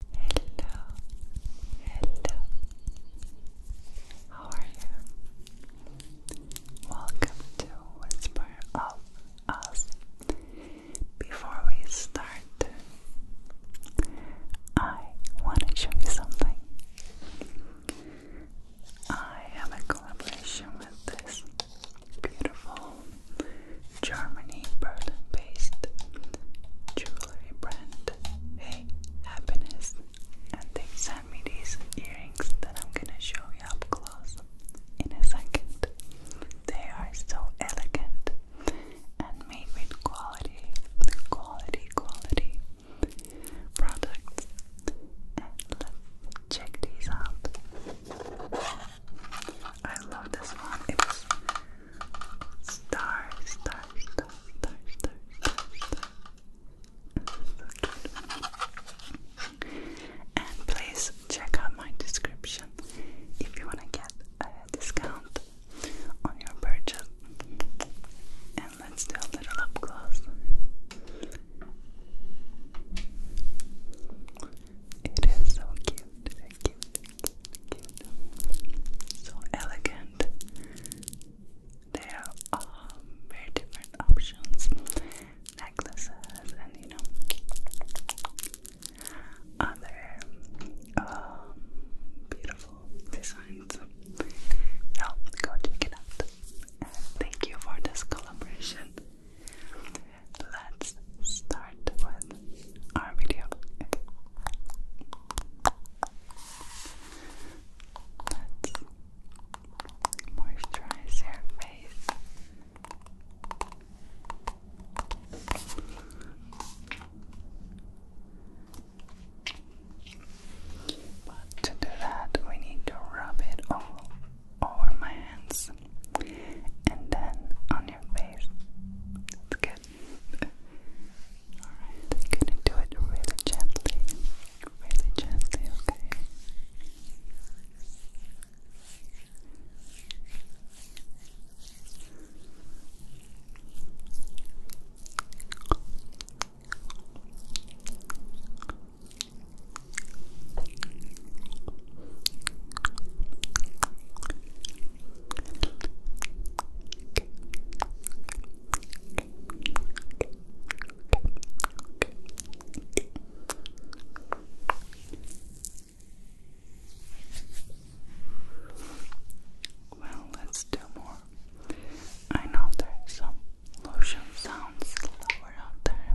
Hello, hello. How are you? Welcome to Whisper of Us. Before we start, I want to show you something. I have a collaboration with this beautiful Germany, based jewelry brand Hey Happiness, and they sent me these earrings that I'm gonna show you up close in a second. They are so elegant and made with quality, quality, quality products. And let's check these out. I love this one. It Star, star, star, star, star, star, and please check out my description if you want to get a discount on your purchase. And let's do a little up close. It is so cute. So elegant. There are very different options, necklaces, and you know, other um, beautiful designs. So go check it out. thank you for this collaboration. Let's start with our video. let face. to do that, we need to rub it all over my hands and then on your face. It's good. Alright, I'm gonna do it really gently. Really gently, okay? Well, let's do more. I know there's some lotion sounds lower out there.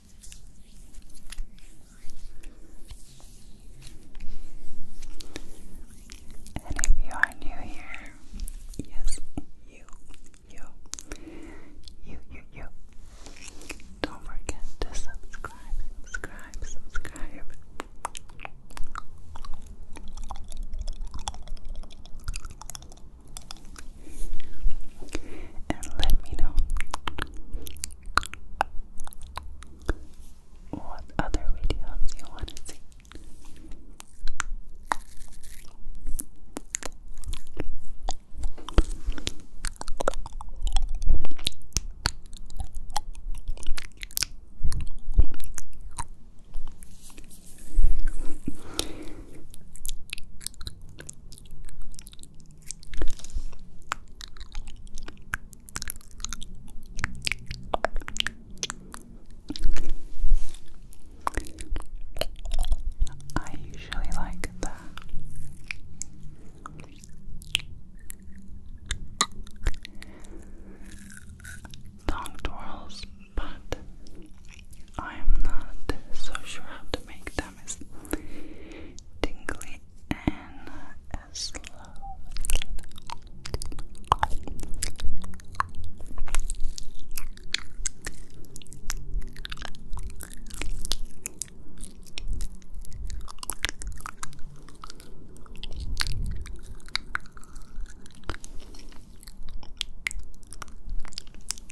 And if you are new here, yes, you, you, you, you, you, don't forget to subscribe, subscribe, subscribe and let me know what other videos you want to see. I usually like that. Tongue twirls, but I'm not so sure how to make them tummies. Tingly and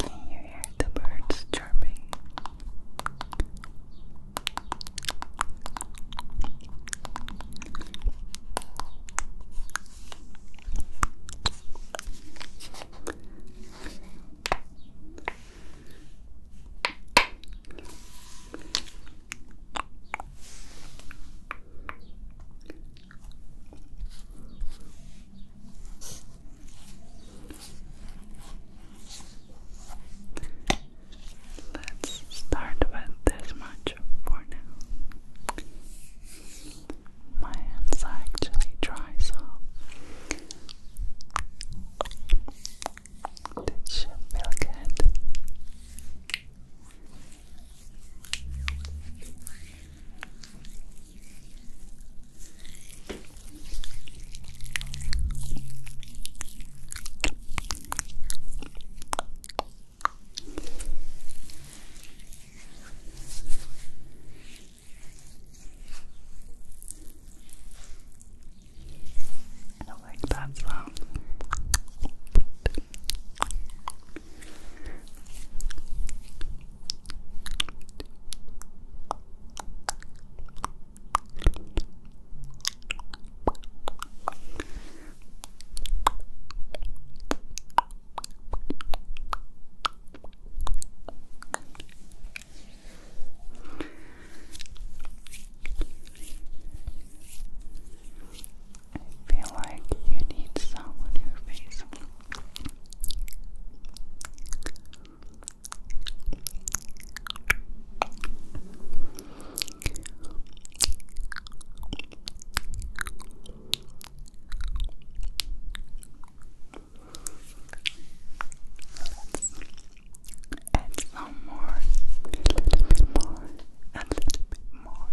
Can you hear the birds chirping? Let's start with this much for now. My hands are actually dry, so it should feel good. I do like that sound. I feel like you need some on your face add some more, a little bit more, a little bit more.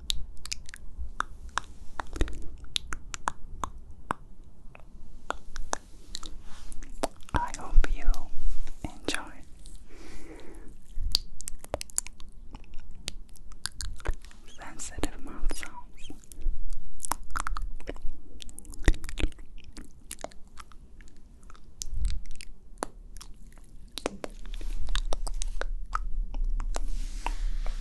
I hope you enjoy. Sensitive mouth sounds.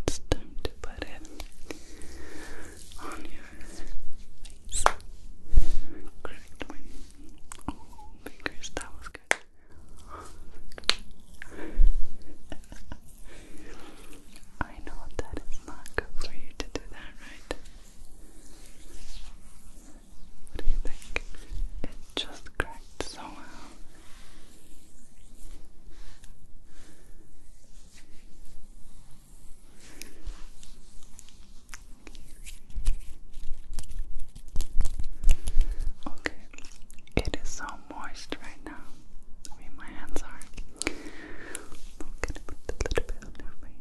it's time to put it on your face. Correct my fingers, that was good. I know that not good for you to do that, right? What do you think? It just cracked so well. Okay, it is so moist right now. I mean, my hands are. I'm gonna put a little bit on your face.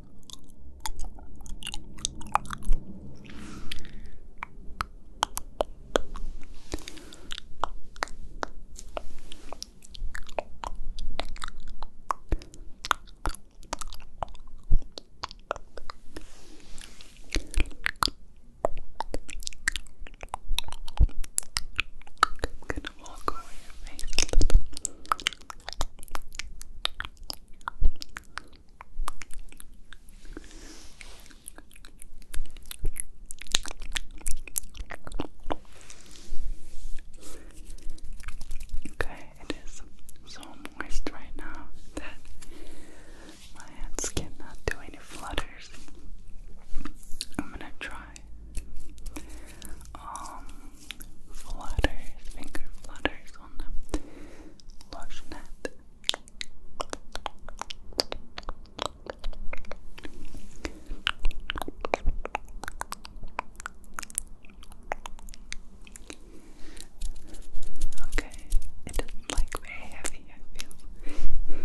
I'm gonna walk over your face a little. Okay, it is so moist right now that my hands cannot do any flutters. I'm gonna try. Um, flutters, finger flutters on the lotionette. Okay, it doesn't like very heavy, I feel.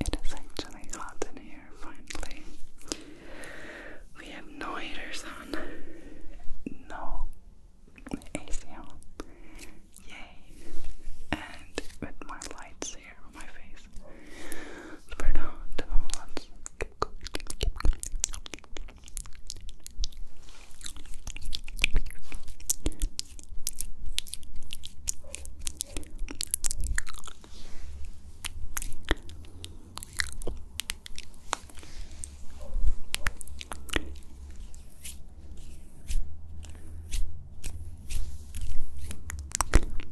It is actually hot in here finally. We have no heaters on, no AC on, yay! And with my lights here on my face. So now, let's keep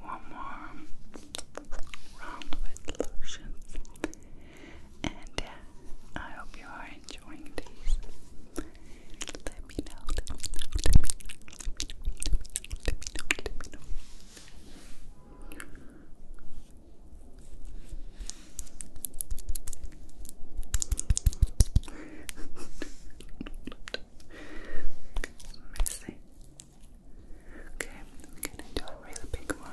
One more round with lotion, and I hope you are enjoying these. Let me know. Let me know. Let me know. Let me know. Messy. Okay, I'm gonna do a really big one.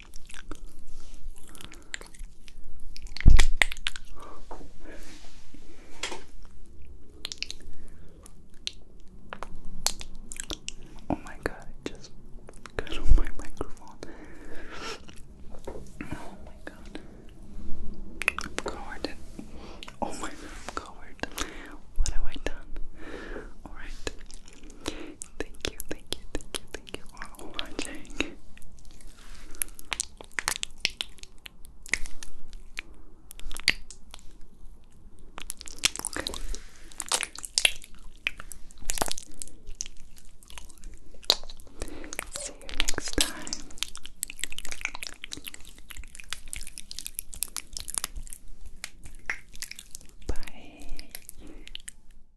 Oh my god, just got on my microphone. Oh my god. I'm covered oh my god, I'm covered. What have I done? Alright. Thank you, thank you, thank you, Thank you for watching. See you next time. Bye.